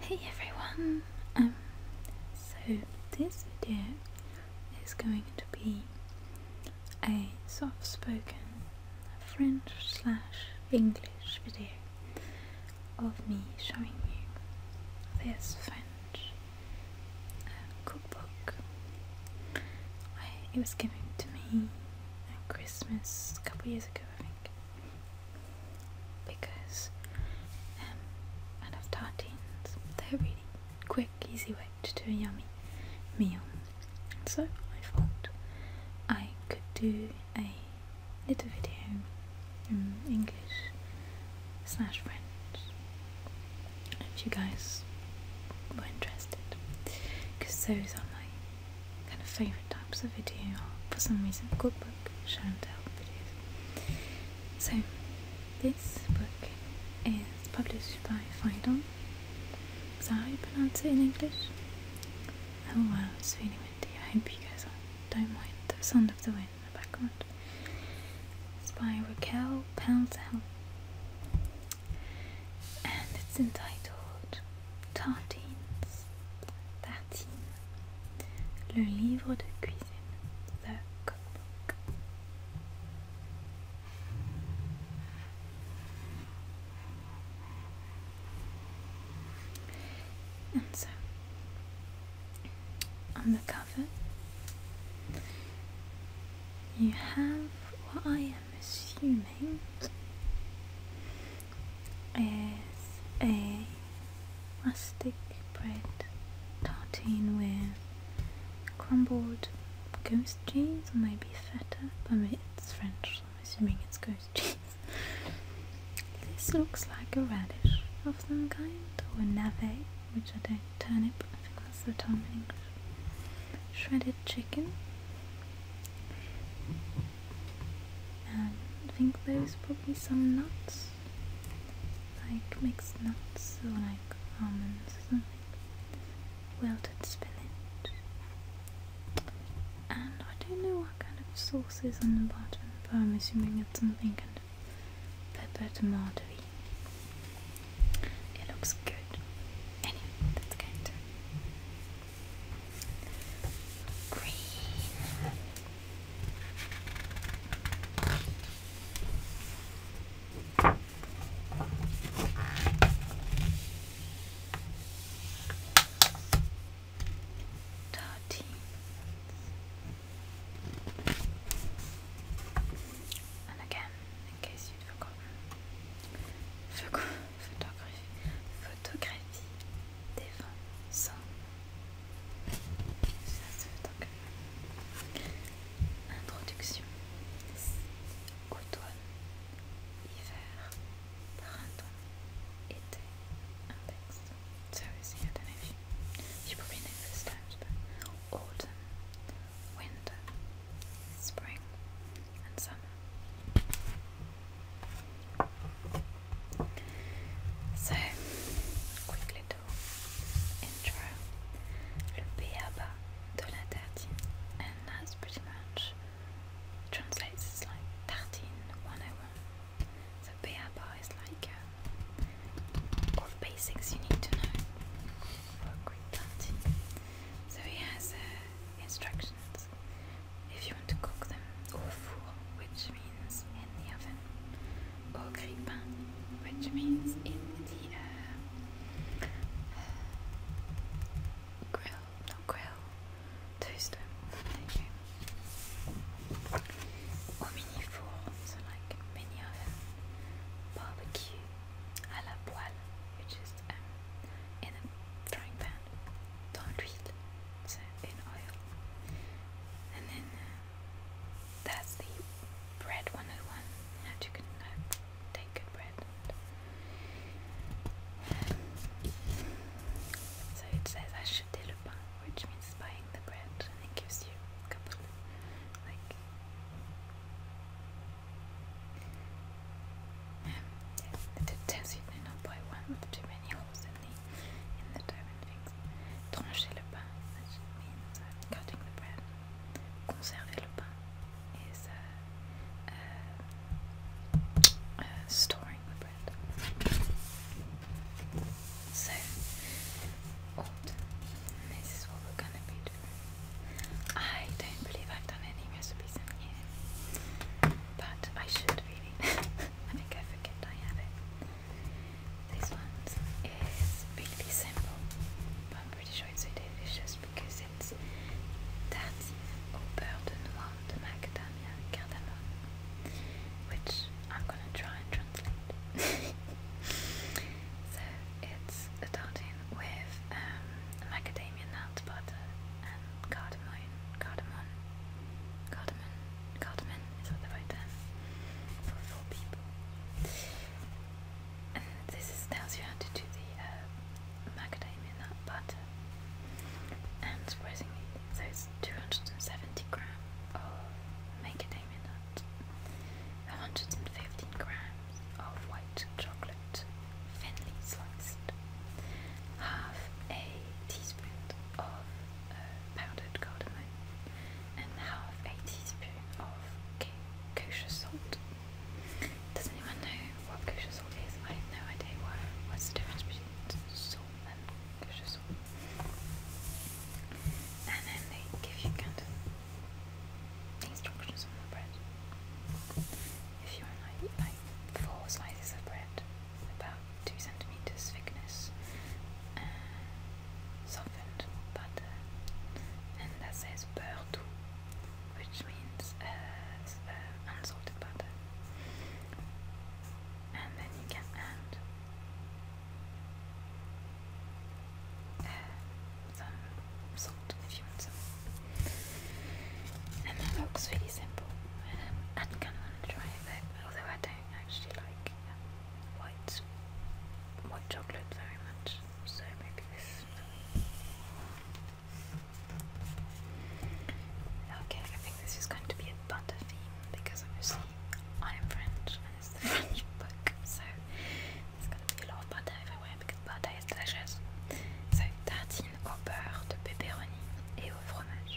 Hey everyone! Um, so this video is going to be a soft-spoken French slash English video of me showing you this French uh, cookbook. it was given to me at Christmas a couple years ago, I think because um, I love They're a really quick, easy way to do a yummy meal. So I thought I could do a little video in English slash French if you guys were interested because those are my kind of favorite types of video for some reason cookbook show and tell videos so this book is published by Fidon is that pronounce it in English? oh wow it's really windy I hope you guys don't mind the sound of the wind in the background it's by Raquel Pouncell and it's entitled Tartines, tartine, le livre de cuisine, the cookbook. And so, on the cover, you have what I am assuming is a rustic bread tartine with crumbled ghost cheese or maybe feta but I mean, it's French so I'm assuming it's ghost cheese this looks like a radish of some kind or a navet which I don't turn turnip I think that's the term in English shredded chicken and I think there's probably some nuts, like mixed nuts or like almonds or something, wilted spinach. And I don't know what kind of sauce is on the bottom, but I'm assuming it's something kind of pepper tomato It looks good. Anyway, that's kind of green. Thirteen. And again, in case you'd forgotten, forgotten photographie, photographie des vents sans. Ça Introduction. Automne, hiver, printemps, été, index. Seriously, I don't know if you, you peux know this times, but autumn, winter, spring, and summer. So, quick little intro. Le Beaba de la tartine, and that's pretty much translates as like tartine 101. So, Beaba is like uh, all the basics you need to know for a quick tartine. So, he has a instructions if you want to cook them au four, which means in the oven, au grille-pain, which means in the uh, uh grill, not grill, toaster. There Au mini four, so like mini oven, barbecue, à la poêle, which is um, in a frying pan and dans l'huile in oil and then uh, that's the bread 101 how you can uh, good bread so it says acheter le pain which means buying the bread and it gives you a couple like um, it tells you to buy one with too many holes in the diamond figs. Trancher le pain, means uh, cutting the bread. Conserver le pain is uh, uh, storing the bread. So, This is what we're gonna be doing. I don't believe I've done any recipes in here, but I should really. I think I forget I have it. This one is really simple, but I'm pretty sure it's delicious because it's dative au beurre de noix de macadamia cardamom, which I'm gonna try and translate. so it's a tartine with um, macadamia nut butter and cardamom, cardamom Cardamom. Cardamom is what the for four people. And this tells you how to do the uh, macadamia nut butter. And surprisingly, those 270 grams of macadamia nut, 115 grams of white chocolate, thinly sliced, half a teaspoon of uh, powdered cardamom and half a teaspoon of kosher salt. Does anyone know what kosher salt is? I have no idea what, what's the difference between salt and kosher salt. And then they give you kind of instructions on the bread. If you want like, like four slices of bread, about 2 centimeters thickness uh, softened butter and that says beurre doux which means uh, uh, unsalted butter and then you can add some salt if you want some and that looks really simple I kind of want to try it although I don't actually like um, white white chocolate very much, so maybe this. Okay, I think this is going to be a butter theme because obviously I am French and it's the French book, so it's going to be a lot of butter everywhere because butter is delicious. So tartine au beurre de pepperoni et au fromage.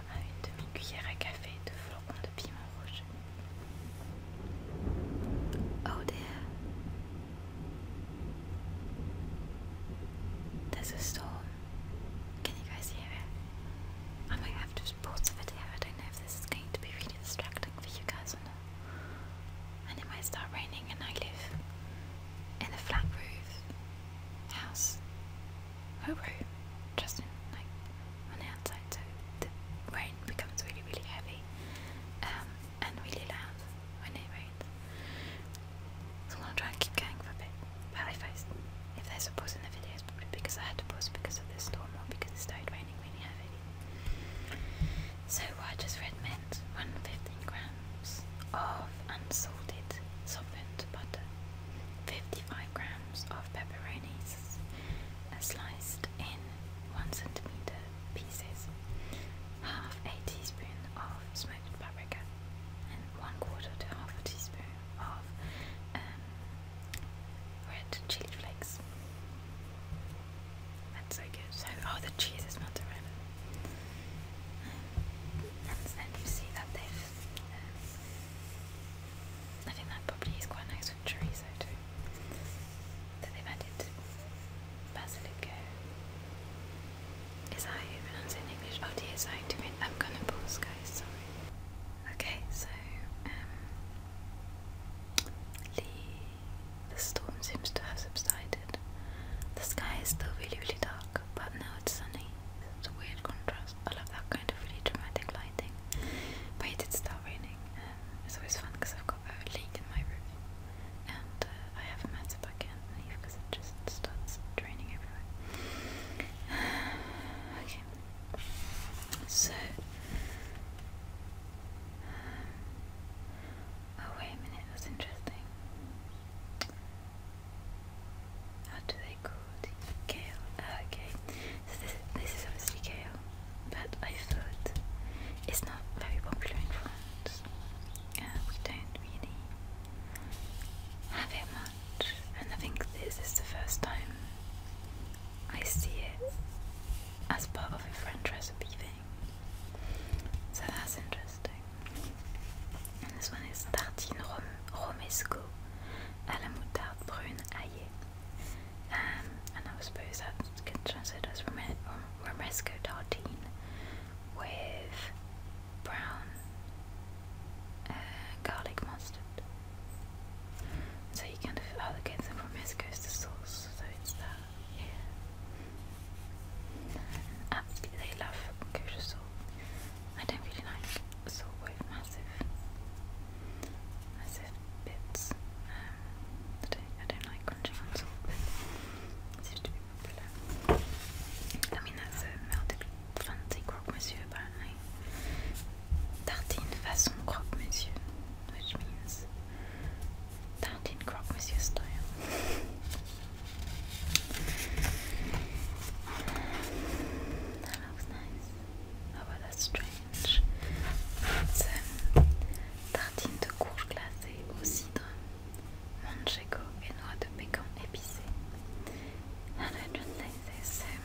à une demi-cuillère à café de Oh dear. There's a storm. Can you guys hear it? I might have to pause the video. I don't know if this is going to be really distracting for you guys or not. And it might start raining, and I live in a flat roof house who oh, wrote like on the outside so the rain becomes really really heavy um, and really loud when it rains. So I'll try and keep going for a bit. But if, there's a pause in the video probably because I had to pause because of this storm or because it started raining really heavily. So I just read meant 115 grams of unsalted softened butter, 55 grams grams of pepperonis sliced in 1 centimeter pieces, half a teaspoon of smoked paprika, and 1 quarter to half a teaspoon of um, red chili flakes. That's so good. oh, the cheese is melted. Um, and then you see that they've. Um, that probably is quite nice is that how you I'm gonna pause, guys, sorry. Okay, so, um, the, the storm seems to have subsided. The sky is still really, really dark, but now it's sunny. It's a weird contrast. I love that kind of really dramatic lighting. But it did start raining. Um, it's always fun because I've got a leak in my roof, and uh, I have a matter I can leave because it just starts draining everywhere. okay, so. Um, oh wait a minute, that's interesting. How do they Kale. Ah, this is obviously kale, but I thought it's not very popular in France. we don't really have it much, and I think this is the first time I see it as part of a French recipe thing. So that's interesting. And this one is tartine romesco à la moutarde brune aillée. Um, and I suppose that can translate as romesco tartine with brown uh, garlic mustard. So you kind of allocate the romesco is the sauce, so it's that. Yeah. Um, absolutely, they love kosher salt. I don't really like salt with massive I said bits. Um, I, don't, like crunching on salt, but seems to be popular. I mean, that's fancy croque-monsieur, apparently. Tartine façon croque-monsieur, which means tartine croque-monsieur style. That looks nice. Oh, well, that's strange. C'est une tartine de courge glacée au cidre, manchego et noix de pécan épicée. And je vais think this um,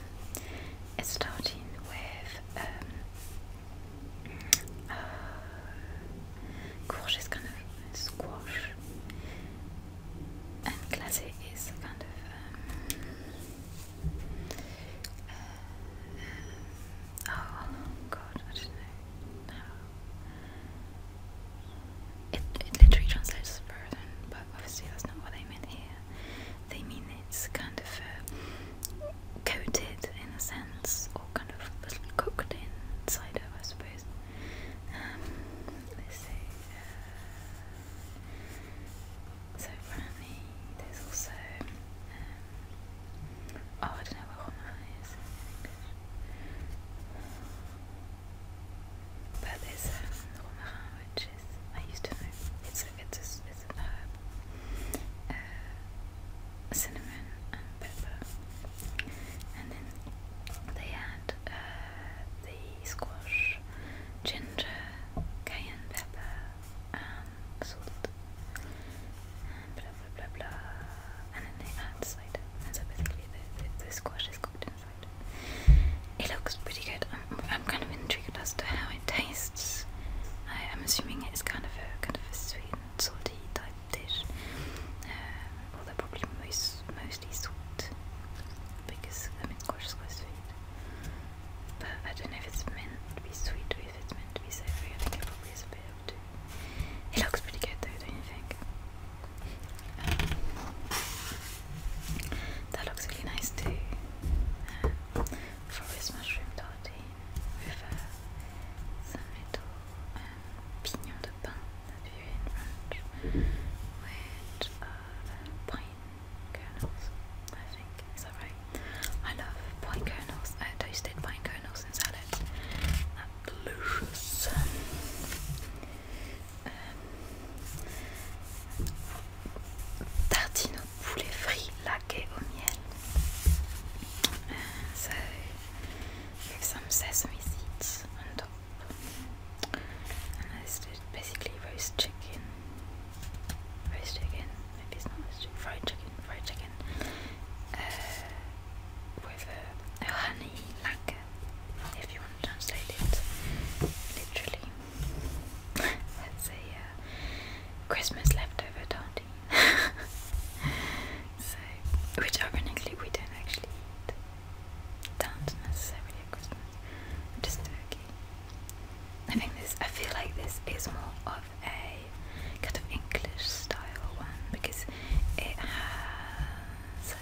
is starting with um, uh, courge squash and glacé is kind of um, Uh, um, oh, oh God, I don't know. No. It it literally translates as burden, but obviously that's not what they meant here. They mean it's kind of uh, coated in a sense, or kind of little cooked inside of, I suppose. Um, let's see. Uh, so apparently there's also, um, oh I don't know what Roma is but there's um, which is, I used to know, it's, a, it's, a, it's an herb, uh, cinnamon and pepper, and then they had uh, the squash, ginger, cayenne pepper, and blah blah blah blah and then they add cider and so basically the, the, squash is cooked in it looks pretty good I'm, I'm kind of intrigued as to how it tastes I am assuming it's kind of a kind of sweet and salty type dish um, Well, they're probably most, mostly sweet because I mean squash is quite sweet but I don't know if it's meant to be sweet or if it's meant to be savoury. I think it probably is a bit of two. It looks pretty good though, don't you think? Um, that looks really nice too. Um, forest mushroom with uh, some little um, pignon de pain with uh, the kernels, I think. Is that right? I love pine kernels. I toasted pine kernels in salads. That's delicious. Um, tartine au poulet frit laqué au miel. Uh, so, with some sesame seeds on top. And this is basically roast chicken roast chicken, maybe it's not fried chicken, fried chicken, uh, with a, a honey lacquer, if you want to translate it literally. That's a uh, Christmas leftover tarty. so, which ironically we don't actually eat. Don't necessarily Christmas. Just uh, I think this, I feel like this is more of a kind of English style one because it has.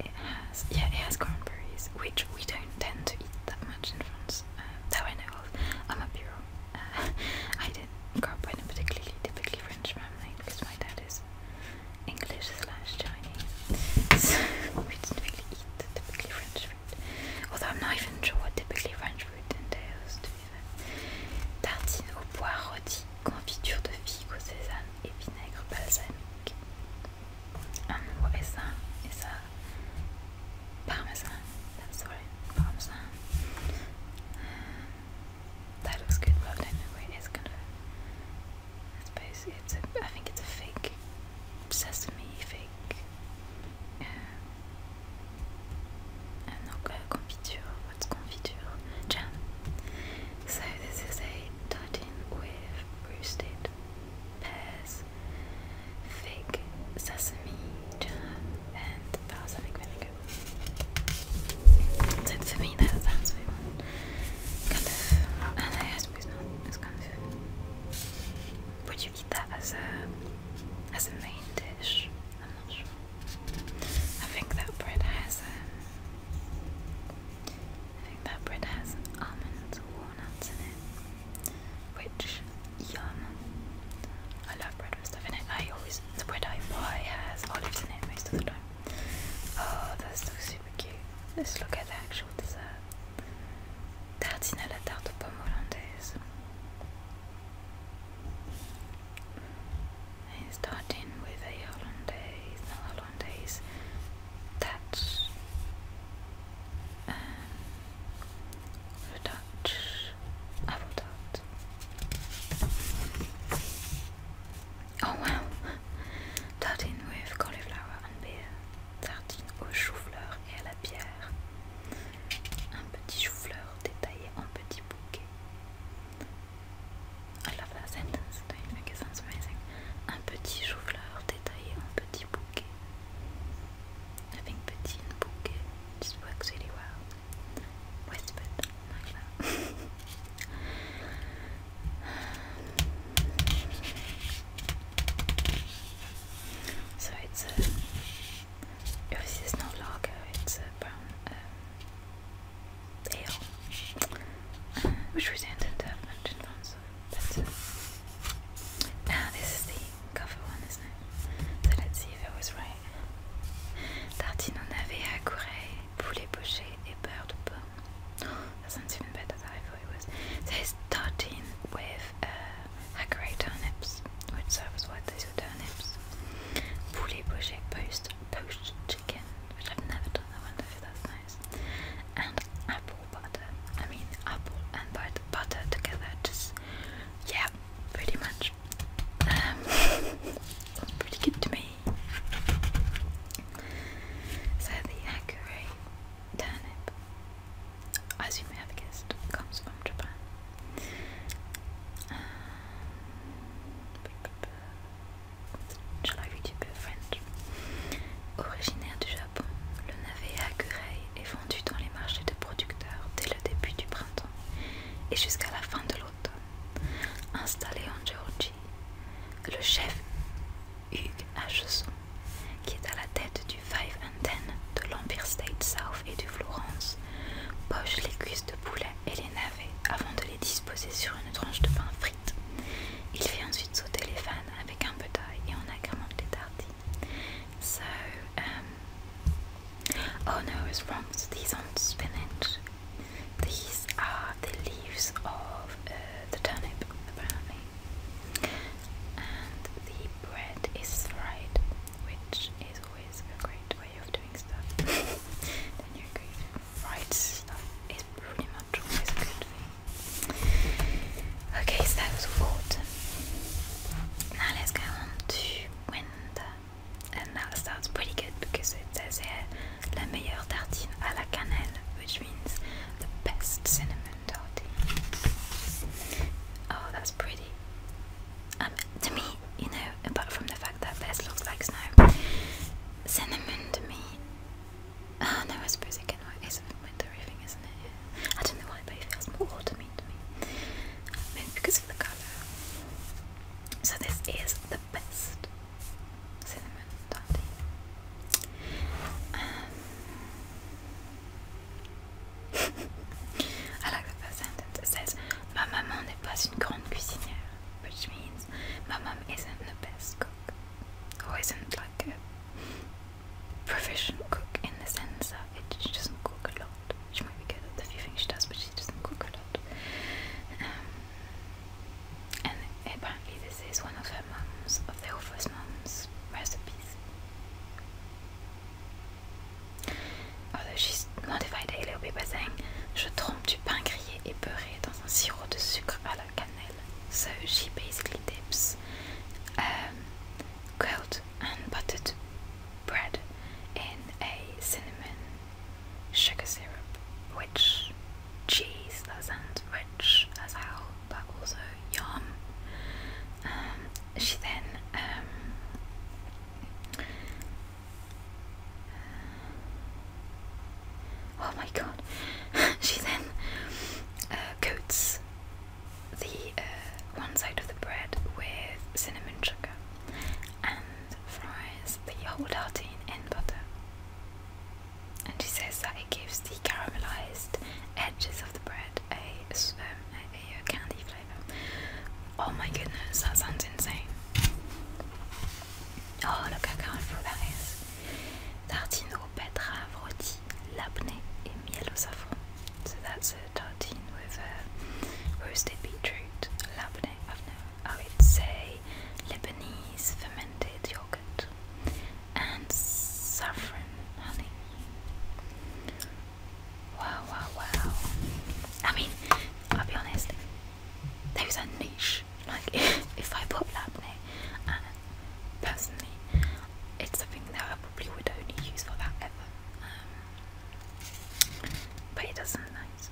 It has, yeah, it has cranberries, which we don't tend to eat that much in France. Uh, though I know of, I'm a pure. Uh, I didn't grow up in a particularly typically French family because my dad is English slash Chinese. we didn't really eat typically French food. Although I'm not even sure what typically French food entails to au pois rôti, confiture de figues au sésame et vinaigre balsamique. what is that? Is that parmesan? That's right, parmesan. Euh, that looks good, but I don't know where it is. Kind of I basically. it's a, I think it's a fake sesame, fake and uh, confiture, what's confiture? Jam. So this is a tartan with roasted pears, fig, sesame jam, and balsamic vinegar. So for that, that's what want. Kind of, and I would you eat that as a, as a main dish. I'm not sure. I think that bread has a, um, I think that bread has almonds walnuts in it. Which, yum. I love bread with stuff in it. I always, the bread I buy has olives in it most of the time. Oh, that's so super Let's look at the actual dessert. Tartine à la tarte aux pommes hollandaise. starting with a hollandaise, no hollandaise touch. Um, Dutch apple tart. Oh wow! Tartine with cauliflower and beer. Tartine au chou-fleur et à la bière. Un petit chou-fleur détaillé en petit bouquet. I love that sentence, don't you think it amazing? Un petit chou-fleur détaillé en petit bouquet. I think petit bouquet just works really well. Whispered like that. So it's a. Obviously, it's not it's brown um, ale. Uh, which we didn't have mentioned on, Now, this is the cover one, isn't it? So let's see if I was right. Tartine en avait à poulet poché et beurre de pomme. Oh, that sounds even better than I it was. So it's starting with uh, a great turnips, which serves with those turnips. Poulet boucher poached chicken, which I've never done. I wonder if that's nice. And apple butter. I mean apple and butter, together. Just yeah, pretty much. Um, pretty good to me. So the hackeray as you comes from Japan. Um, Originaire du Japon, le navet à curey est vendu dans les marchés de producteurs dès le début du printemps et jusqu'à la fin de l'automne. Installé en Georgie, le chef H. Hesson, qui est à la tête du 5 and 10 de l'Empire State South et du Florence, poche les cuisses de poulet et les navets avant de les disposer sur une tranche de pain frite. Il fait ensuite sauter les fans avec un peu d'ail et on agrément les tartines. So, um, oh no, it's wrong. these aren't spinach. These are the leaves of uh, the turnip, apparently. And the bread is fried, which is always a great way of doing stuff. then you're good. Fried stuff is pretty much always a good thing. Okay, so that was autumn. Now let's go on to winter. And that sounds pretty good because it says here meilleure tartine à la cannelle, which the best cinnamon toddy. Oh, that's pretty. Um, to me, you know, apart from the fact that this looks like snow, cinnamon to me. Oh no, I suppose it can work. It's a wintery thing, isn't it? I don't know why, but it feels more autumny to me. Maybe because of the colour. So this is the best um, I like the sentence. says, "Ma maman n'est pas une grande cuisinière," which means my mom isn't the best cook, She isn't like a proficient cook in the sense that she doesn't cook a lot. She might be good at the few things she does, but she doesn't cook a lot. Um, and apparently this is one of her mom's, of the author's mom's recipes. Although she's modified it a little bit by saying, je trempe du pain grillé et beurré dans un sirop de sucre à la cannelle. So she basically dips um, grilled and buttered bread in a cinnamon sugar syrup, which cheese that sounds rich as hell but also yum um, she then um, uh, oh my god she then uh, coats the uh, one side of the bread with cinnamon sugar and fries the whole tartine in butter and she says that it gives the caramelized edges of the bread a, um, a, candy flavor. Oh my goodness, that sounds insane! Oh, look how colorful that is. Tartine au betterave rôti, labneh, and miel au saffron. So that's a tartine with roasted beetroot, labneh. I've never. Oh, Lebanese fermented yogurt and saffron honey. Wow, wow, wow. I mean, I'll be honest, those are niche. Like, if, I bought Labney, personally, it's something that I probably would only use for that ever. Um, but it does sound nice.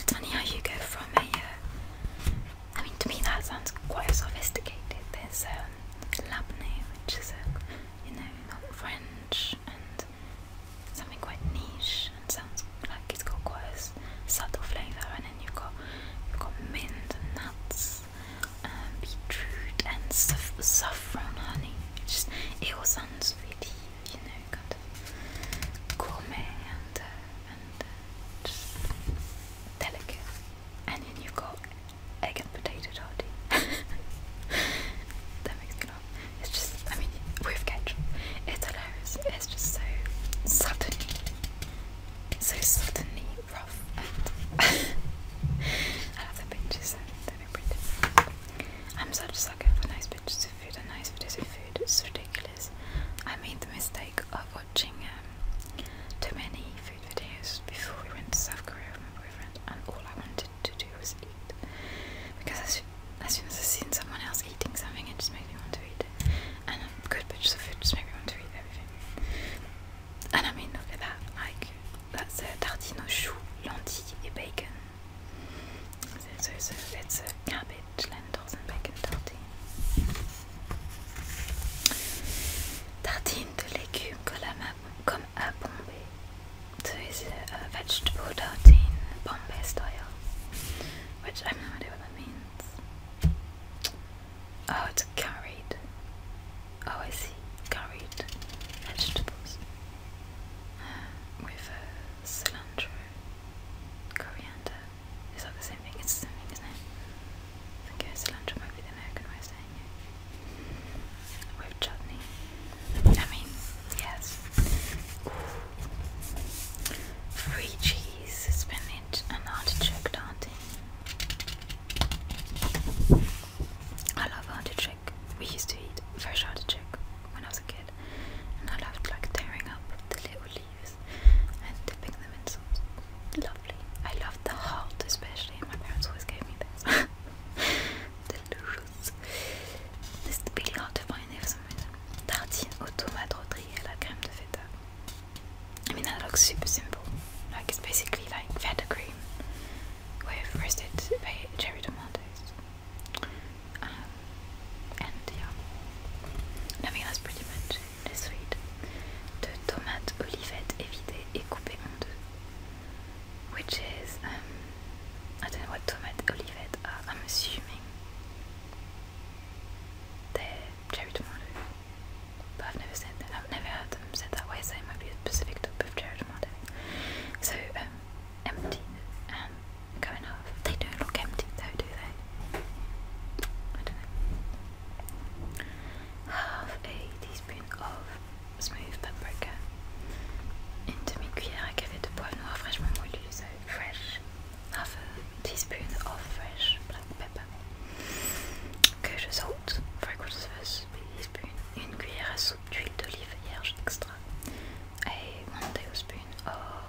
It's funny how you go from a. Uh, I mean, to me that sounds quite sophisticated. There's um, labneh, which is a, uh, you know, not French and something quite niche and sounds like it's got quite a subtle flavour. And then you've got you've got mint and nuts, um, beetroot and saff saffron honey. It just it all sounds really, you know, gourmet and, uh, and uh, delicate. And then you got egg and potato tarty. that makes me laugh. It's just, I mean, with ketchup, it's hilarious. It's just so suddenly, so suddenly rough. I love the pictures, I'm such sucker for nice pictures of food and nice videos of food. It's ridiculous. I made the mistake of watching um, too many food videos before we went to South Korea with my boyfriend, and all I wanted to do was eat. Because as, soon as I seen someone else eating something, it just makes me want to eat it. And a good pictures of food just makes me want to eat everything. And I mean, look at that. Like, that's a tartine au chou, lentilles, and bacon it's a cabbage, lentils and bacon tartine. Tartine de légumes comme à it's a vegetable tartine, Bombay style. Which I have no idea what that means. Oh, it's curried. Oh, I see. Curried vegetables. Uh, with uh, cilantro, coriander. Is that the same thing? It's the same thing, isn't it? I think cilantro might the American way of saying it. With chutney. I mean, yes. Free cheese, spinach, and artichoke tartine. I love artichoke. We used to eat fresh artichoke when I was a kid did, and I loved like tearing up the little leaves and dipping them in sauce. Lovely. I loved the heart especially. My parents always gave me this. Delicious. This is really hard to find there for some reason. Tartine aux tomates rôties à la crème de feta. I mean that looks super simple. Like it's basically like feta cream with roasted cherry tomatoes. Um, and yeah, I think that's pretty much it. It's sweet. De tomates olivettes évitées et coupées en deux. Which is, um, I don't know what tomates olivettes are. I'm assuming they're cherry tomatoes, but I've never said that. I've never heard them said that way, so it might be a specific type of cherry tomato. So, um, empty, um, kind They don't look empty though, do they? I don't know. Half a teaspoon of smooth paprika. Une à café de poivre noir fraîchement fresh. Half a teaspoon of fresh black pepper. Kosher salt, three quarters a teaspoon. Une cuillère à soupe d'huile d'olive vierge extra. one tablespoon of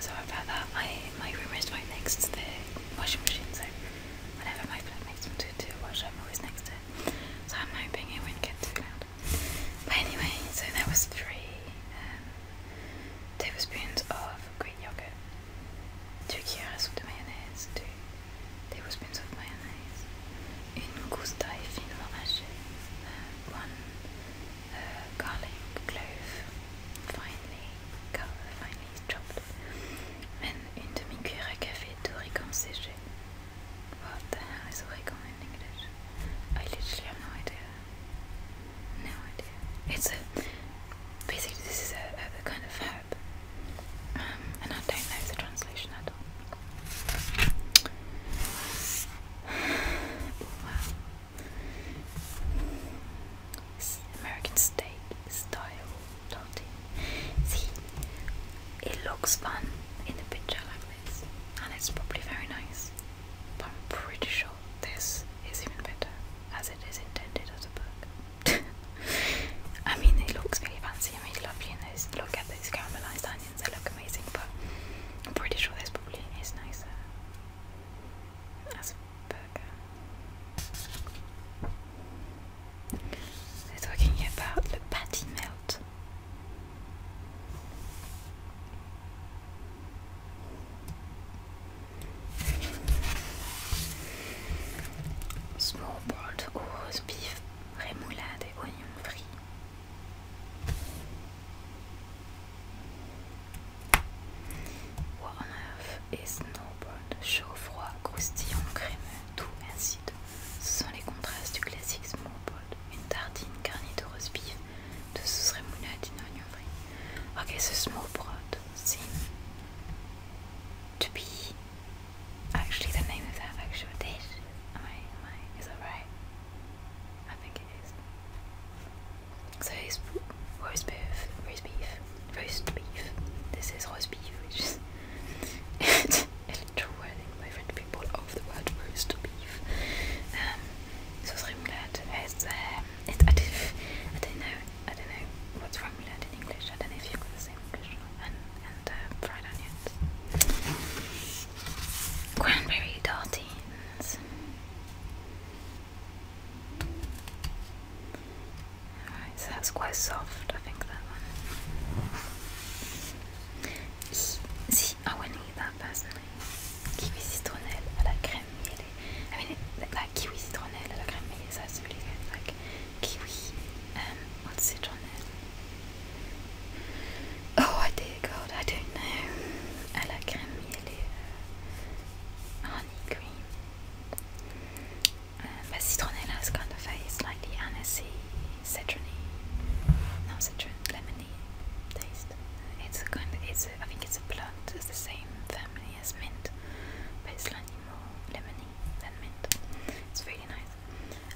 Sorry about that. I my room is right next to the washing machine, so whenever my flatmates want to do I'm always next to it. So I'm hoping it won't get too loud. But anyway, so there was three um, tablespoons of Greek yogurt. Türkiye arasında two tablespoons of mayonnaise, une gousse d'ail fine eh, one uh, garlic finely, chopped, and une demi café d'origan séché. What the hell in English? It's a basically this is a kind of um, and I don't know the translation at all. American steak style Latin. See, it looks fun in the picture like this, and it's probably very nice. But I'm pretty sure this is even better, as it is intended as a book. I mean, it looks really fancy. I mean, lovely, and those look at those caramelized onions, they look amazing. But I'm pretty sure this probably is nicer as a burger. They're talking about the patty melt. Snowboard ou au rose beef, rémoulade et oignons frits. warm et snowboard, chaud, froid, croustillant, crémeux, tout acide. Ce sont les contrastes du classique snowboard. Une tartine garnie de rose beef, de sauce remoulade et oignon frits. Ok, ce snowboard, c'est... To be Actually, the name of that actual dish. Am I? Am I? Is that right? I think it is. So roast beef, roast beef, roast beef. This is roast beef, which is a literal wording by French people of the world roast beef. Um, so it's rimlet. It's um, it. I don't, I don't know I don't know what's wrong with that in English. I don't know if you've got the same English and and uh, fried onions, cranberry tartines. Alright, so that's quite soft. I think that one. See, I wouldn't eat that personally. Kiwi citronelle à la crème I mean, it, like kiwi citronelle à la crème mêlée, that's really good. Like kiwi. Um, what's it Oh, my dear God, I don't know. À la crème, honey cream. Um, but citronella kind of a slightly anisey, citrony, not citron, lemony taste. It's kind of, it's a, I think it's a plant, it's the same family as mint, but lemony than mint. It's really nice.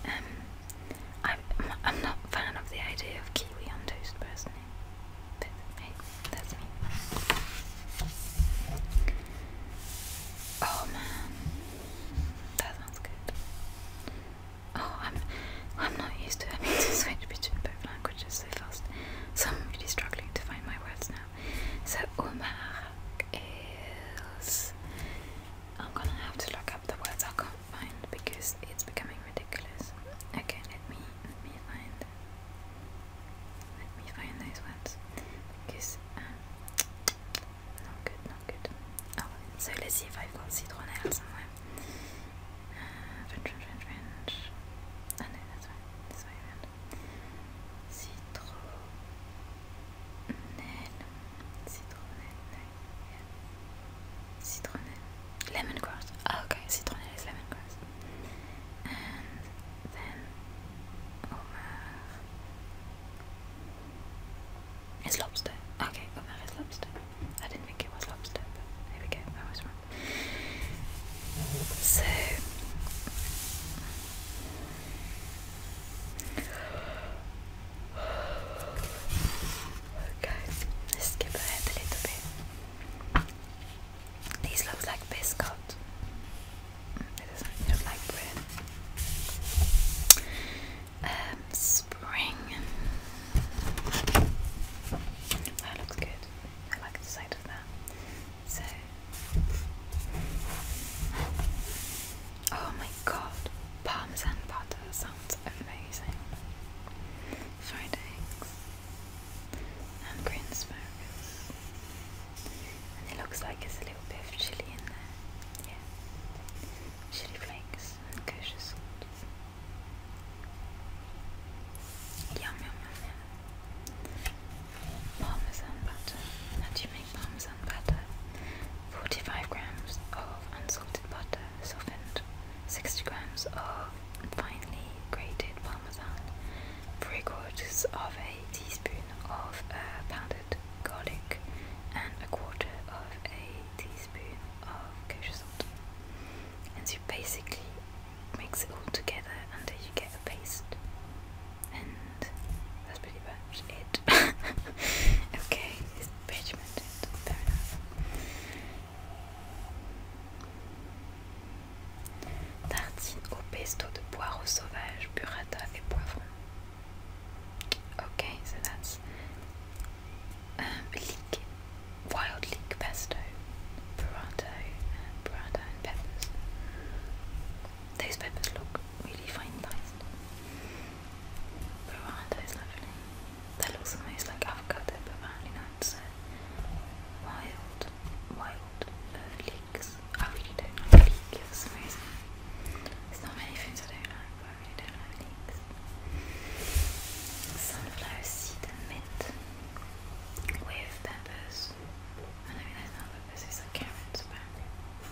Um, I'm I'm not a fan of the idea of kiwi on toast personally, but hey, that's me. Oh man, that sounds good. Oh, I'm I'm not used to having to switch between both languages so fast. So I'm really struggling to find my words now. So umark is I'm gonna have to look up the words I can't find because it's becoming ridiculous. Okay, let me let me find let me find those words because um, not good, not good. Oh, so let's see if I've got citronelle uh, French, French, French, Oh no, that's right. This way around citronelle, lemongrass. Oh, okay, citronelle is lemongrass, and then Omar is lobster. Okay, Omar is lobster. I didn't think it was lobster, but there we go. I was wrong. So Okay, let's skip ahead a little bit. These look like biscuit. Mm, it doesn't look like bread. Um, spring. That looks good. I like the sight of that. So, oh my god, parmesan butter sounds amazing. Fried eggs and green asparagus, and it looks like there's a little bit of chili in there. Yeah, chili flakes and kosher salt. Yum, yum, yum, parmesan butter. How do you make parmesan butter? 45 grams of unsalted butter, softened. 60 grams of finely grated parmesan. 3 quarters of a teaspoon of uh, pounded garlic. And a quarter of a teaspoon of kosher salt. And you basically mix it all together until you get a paste. And that's pretty much it. okay, fair enough. Tartine au pesto de poireaux sauvages, burrata et poivron. Okay, so that's um, wild leek pesto, burrata, burrata and peppers. Those peppers look really fine diced. Burrata is lovely. That looks almost like avocado but apparently wild wild uh, I really don't like leeks for some reason. There's not many things I don't like, I really don't like leeks. Sunflower seed and mint with peppers. I mean there's not peppers, it's like carrots apparently.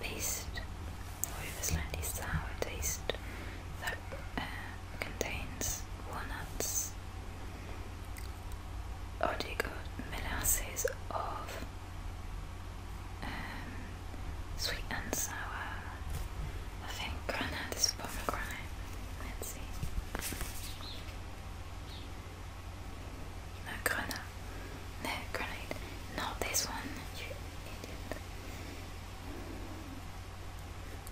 paste with a slightly sour taste that uh, contains walnuts, oligomelasses of um, sweet and sour. I think granite is pomegranate. Let's see. No granite. No granite. Not this one. You idiot.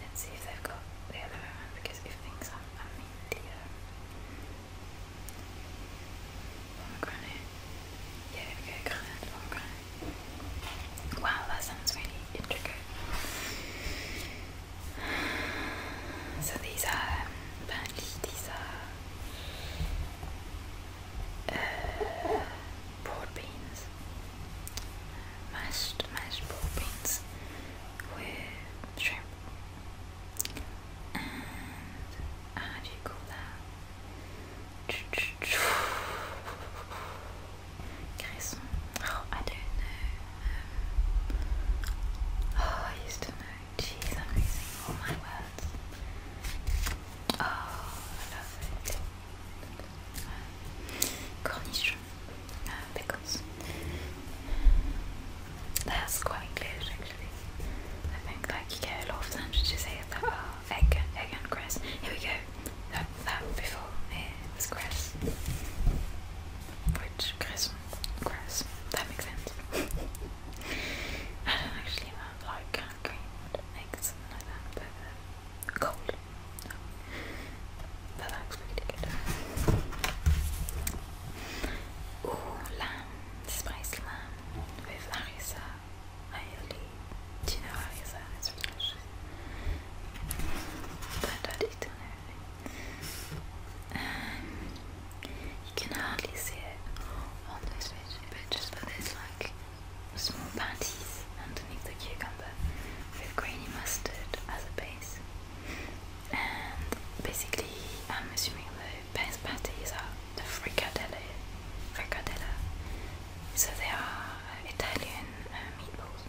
Let's see if they've got the other way because if things are I pomegranate. Yeah, we pomegranate. Wow, that sounds really intricate. So these are um, these are uh, pork beans, mashed mashed pork beans with shrimp, and how do you call that? Cresson. Oh, I don't know. Um, oh, I used to know. Jeez, I'm losing all my words. Oh, I love it cornichon, uh, because that's quite English actually. I think like you get a lot of sandwiches here that are egg, egg and grass. Here we go. That, that before it was grass. Which grass, grass. That makes sense. I don't actually know, like green eggs and like that, but. Um, cold. But I expected it. Ooh, lamb, spiced lamb with harissa, aioli. Do you know harissa? It's delicious. But I didn't know um, you can hardly see it on this picture, but just for this like small patties underneath the cucumber with grainy mustard as a base. And basically, I'm assuming the base patties are the fricadelle, fricadella. So they are Italian uh, meatballs.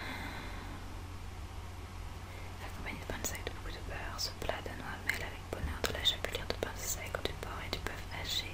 Accompagné de pain de sec, de beaucoup de beurre, ce bonheur de la chapelure de pain du porc et du bœuf haché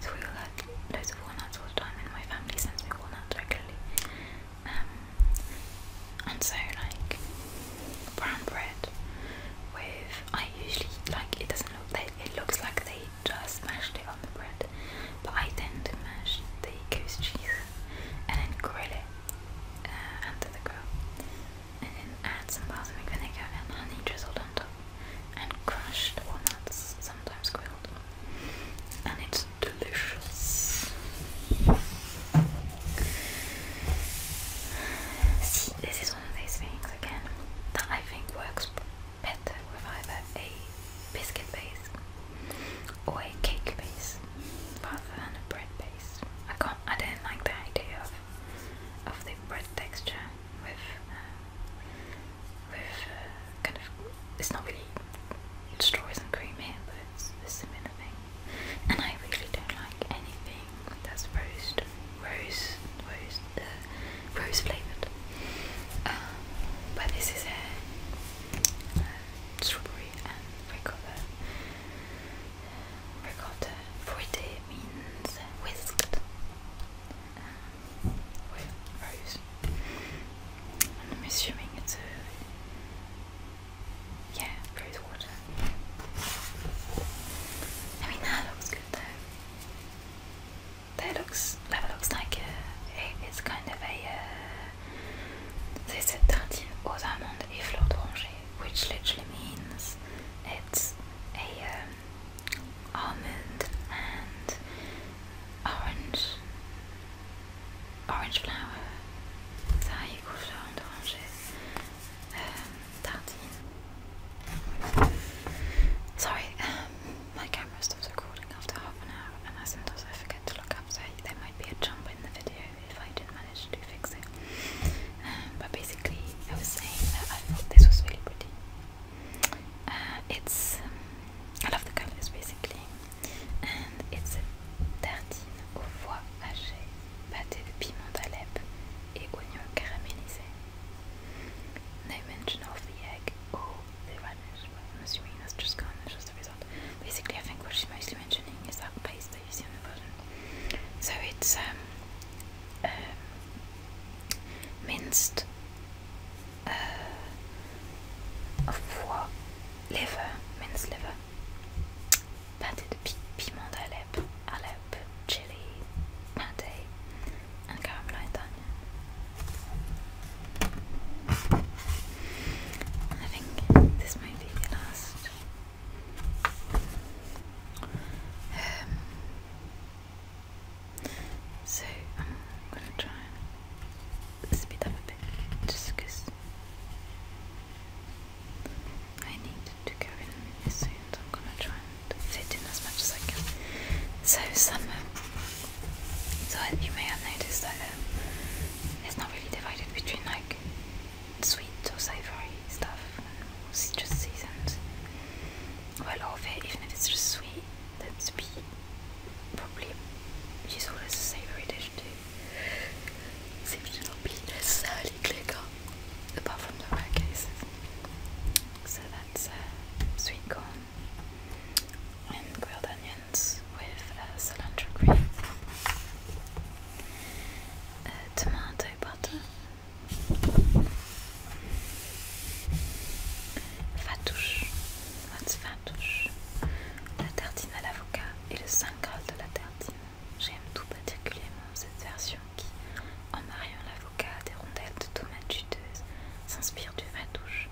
So we all had loads of walnuts all the time, and my family sends me walnuts regularly. Um, and so like brown bread with I usually like it doesn't look they, it looks like they just mashed it on the bread, but I tend to mash the goose cheese and then grill it uh, under the grill, and then add some balsamic vinegar and honey drizzled on top, and crushed walnuts sometimes grilled and it's delicious. See, this is one of these things again that I think works better with either a biscuit base or a cake base rather than a bread base. I can't. I don't like the idea of of the bread texture with um, with uh, kind of, it's not really strawberries and cream here, but it's a similar thing. And I really don't like anything that's rose, rose, rose, uh, rose flavoured. Um, but this is a, strawberry and ricotta. Ricotta, fruity means whisked. Um, I'm assuming it's a yeah, rose water. I mean that looks good though. That looks that looks like it's kind of a uh, they tartine aux amandes et fleurs d'oranger, which literally means it's a um, almond and orange, orange flower, taille écoulant d'oranger, um, tartine. Sorry, um, my camera stops recording after half an hour, and I sometimes I forget to look up, so there might be a jump in the video if I didn't manage to fix it. Um, but basically, I was saying that I thought this was really pretty. Uh, it's um, I love the colors basically, and it's a tartine au foie haché, pâté de piment d'Alep et oignons caramélisés. No mention of the egg Oh, the radish, but I'm assuming that's just gone, that's just the result. Basically, I think what she's mostly mentioning is that paste that you see on the bottom. So it's um, um, minced uh, liver, means liver, pâté de pi piment d'Alep, chili, pâté, and caramelized onion. I think this might be the last. Um, so I'm gonna try and speed up a bit just I need to go in soon. I'm gonna try and fit in as much as I can. So summer. So you may have noticed that um, it's not really divided between like sweet or savoury stuff Just citrus seasons. Well, all of it, even if it's just sweet, that's peach probably useful as a savoury dish too. Seems to not be necessarily clicker, apart from the rare So that's uh, sweet corn and grilled onions with uh, cilantro cream, uh, tomato butter, fattoush, that's La tartine à l'avocat et le saint graal de la tartine. J'aime tout particulièrement cette version qui, en mariant l'avocat à des rondelles de tomates juteuses, s'inspire du matouche,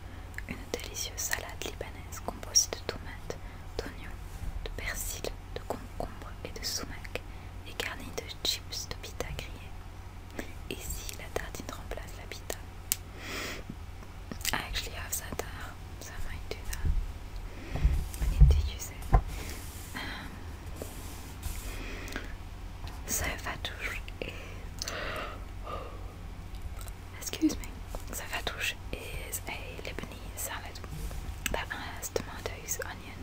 une délicieuse salade libanaise composée de tomates, d'oignons, de persil, de concombre et de sumac, et garnie de chips de pita grillés. Et si la tartine remplace la pita I actually have that. so I might do that. I need to use it. Um, fatouche is excuse me. So fatouche is a Lebanese salad that has tomatoes, onion,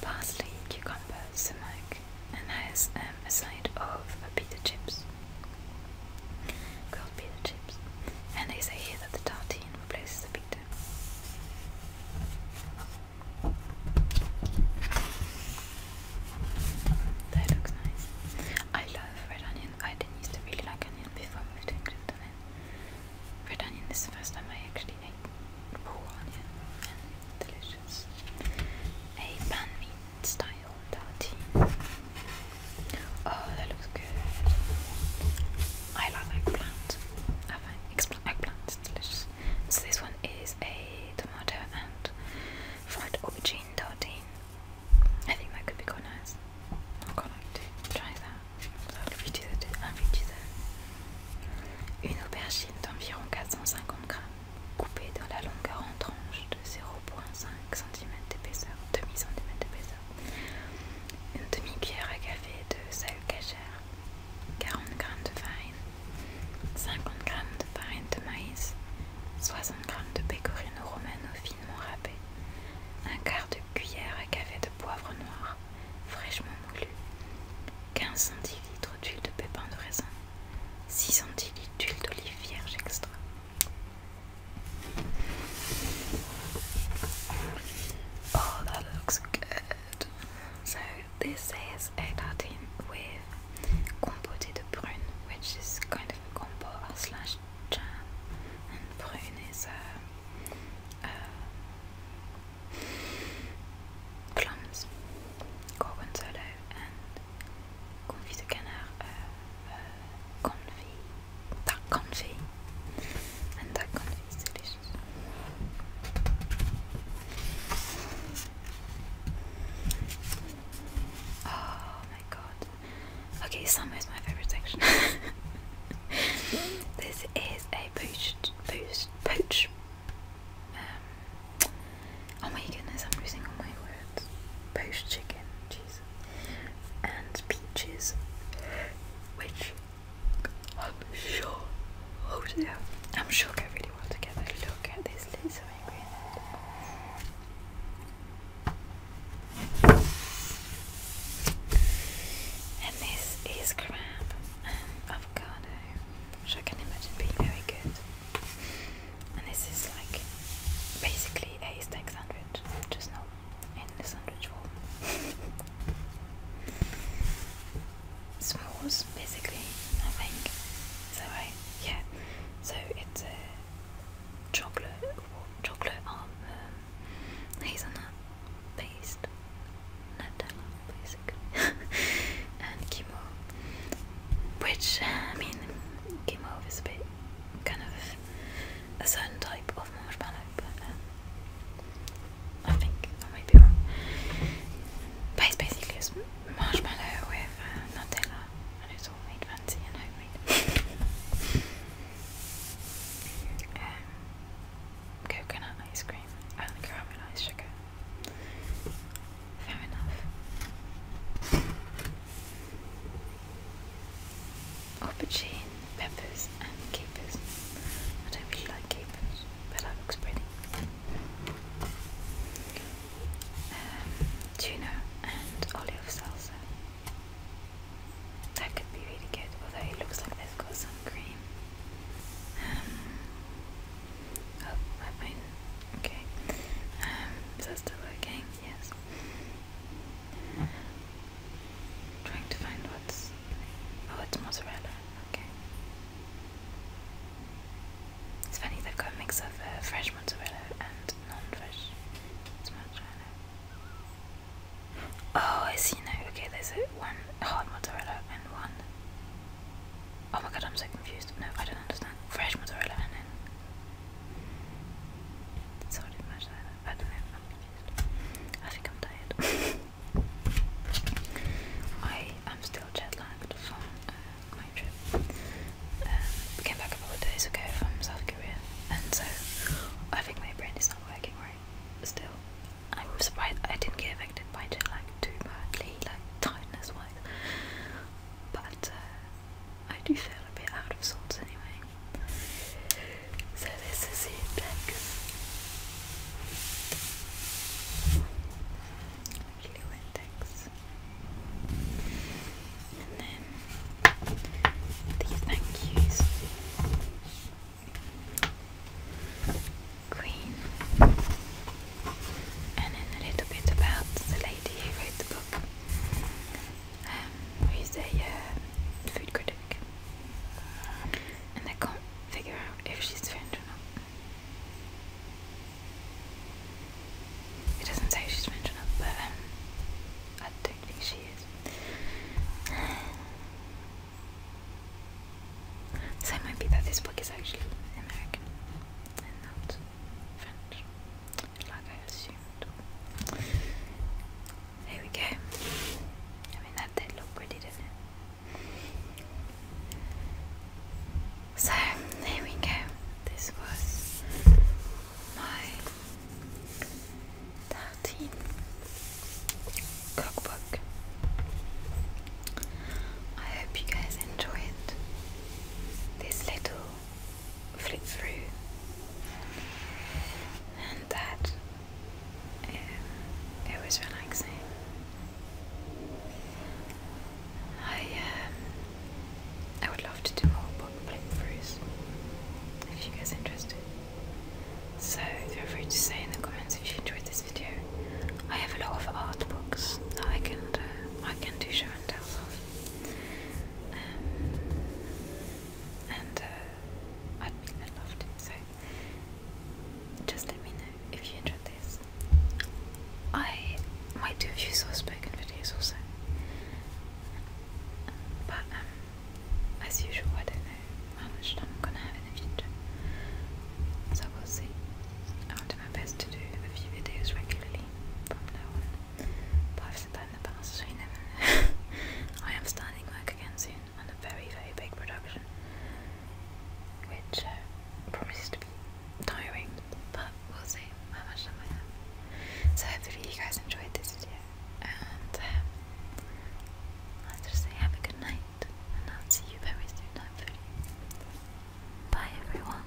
parsley, cucumber, smoke, and has um, a side of a pita chips, grilled pita chips, and they say here that the tartine replaces the pita. That looks nice. I love red onion. I didn't used to really like onion before I moved to England red onion is the first time I actually ate raw onion delicious. A pan meat style dirty. Oh, that looks good. I love eggplant. I find eggplant it's delicious. So this one is a tomato and fried aubergine tartine. I think that could be quite nice. I'd quite like to try that. Ça lui disait une aubergine d'environ 450 grammes coupée dans la longueur en tranches de 0,5 0,5 cm d'épaisseur, demi centimètre d'épaisseur, une demi-cuillère à café de sel cachère, 40 g de farine, 50 g de farine de maïs, 60 g de pecorino romano finement râpé, un quart de cuillère à café de poivre noir fraîchement moulu, 15 centilitres d'huile de pépins de raisin, 6 centilitres d'huile d'olive vierge extra, Oh, that looks good. So this is a tartine with compote de prune, which is kind of a combo slash jam, and prune is plums, gorgonzola, and confit de canard, confit, duck confit, and duck confit is delicious. Oh my god. Okay, summer is my favorite section. this is a poached, poached, poached, Oh my goodness, I'm losing all my words. Poached chicken, cheese, and peaches, which I'm sure, oh yeah, I'm sure go really well together. Look at this list of ingredients. And this is crab and avocado, which I can imagine being very good. And this is like basically a steak sandwich, just not in the sandwich form. S'mores, basically, I So I, yeah. So it's a chocolate, chocolate um hazelnut based Nutella, basically, and chemo. Which I mean, chemo is a bit kind of a certain type of marshmallow, but um, I think I might be wrong. it's basically a marshmallow with uh, Nutella, and it's all made fancy and homemade. Um, coconut ice cream and caramelized sugar. Fair enough. Aubergine, peppers, and capers. I don't really like capers, but that looks pretty. Um, tuna and olive salsa. That could be really good, although it looks like they've got some cream. Um, oh, my phone Okay. Um, is that still working? Yes. trying to find what's. Oh, it's mozzarella. Okay. It's funny, they've got a mix of uh, fresh mozzarella and non fresh mozzarella. Oh, I see now. Okay, there's a one hard mozzarella and one. Oh my god, I'm so confused. No, I don't understand. Fresh mozzarella and then so did much that. I don't know. I'm I think I'm tired. I am still jet lagged from uh, my trip. Um, came back a couple days ago from South Korea, and so I think my brain is not working right still. I'm surprised I didn't get affected by jet lag too badly, like tiredness wise. But uh, I do feel a bit out of sorts anyway. So this is it, like blue index. And then these thank yous. Queen. And then a little bit about the lady who wrote the book. Um, who's a uh, food critic, and I can't figure out if she's French or not. It doesn't say she's French or not, but um, I don't think she is. So it might be that this book is actually American and not French like I we go. I mean, that did look pretty, didn't it? So, there we go. This was my 13 cookbook. I hope you guys enjoy it. This little flip through, and that um, it was relaxing. I um, I would love to do more book flip-throughs. if you guys are interested. So feel free to say in the comments if you enjoyed this video. I have a lot of art books that I can do, uh, I can do show and tells of. Um, and uh, I'd mean I loved so just let me know if you enjoyed this. I might do a few source spoken videos also. But um, as usual, I don't know how much time I'm gonna have in the future, so we'll see. I'll do my best to do a few videos regularly from now on. But i in the past, so you never I am starting work again soon on a very, very big production, which uh, promises to be tiring, but we'll see how much time I have. So, hopefully, you guys enjoyed this video, and um, I'll just say have a good night, and I'll see you very soon, hopefully. Bye, everyone.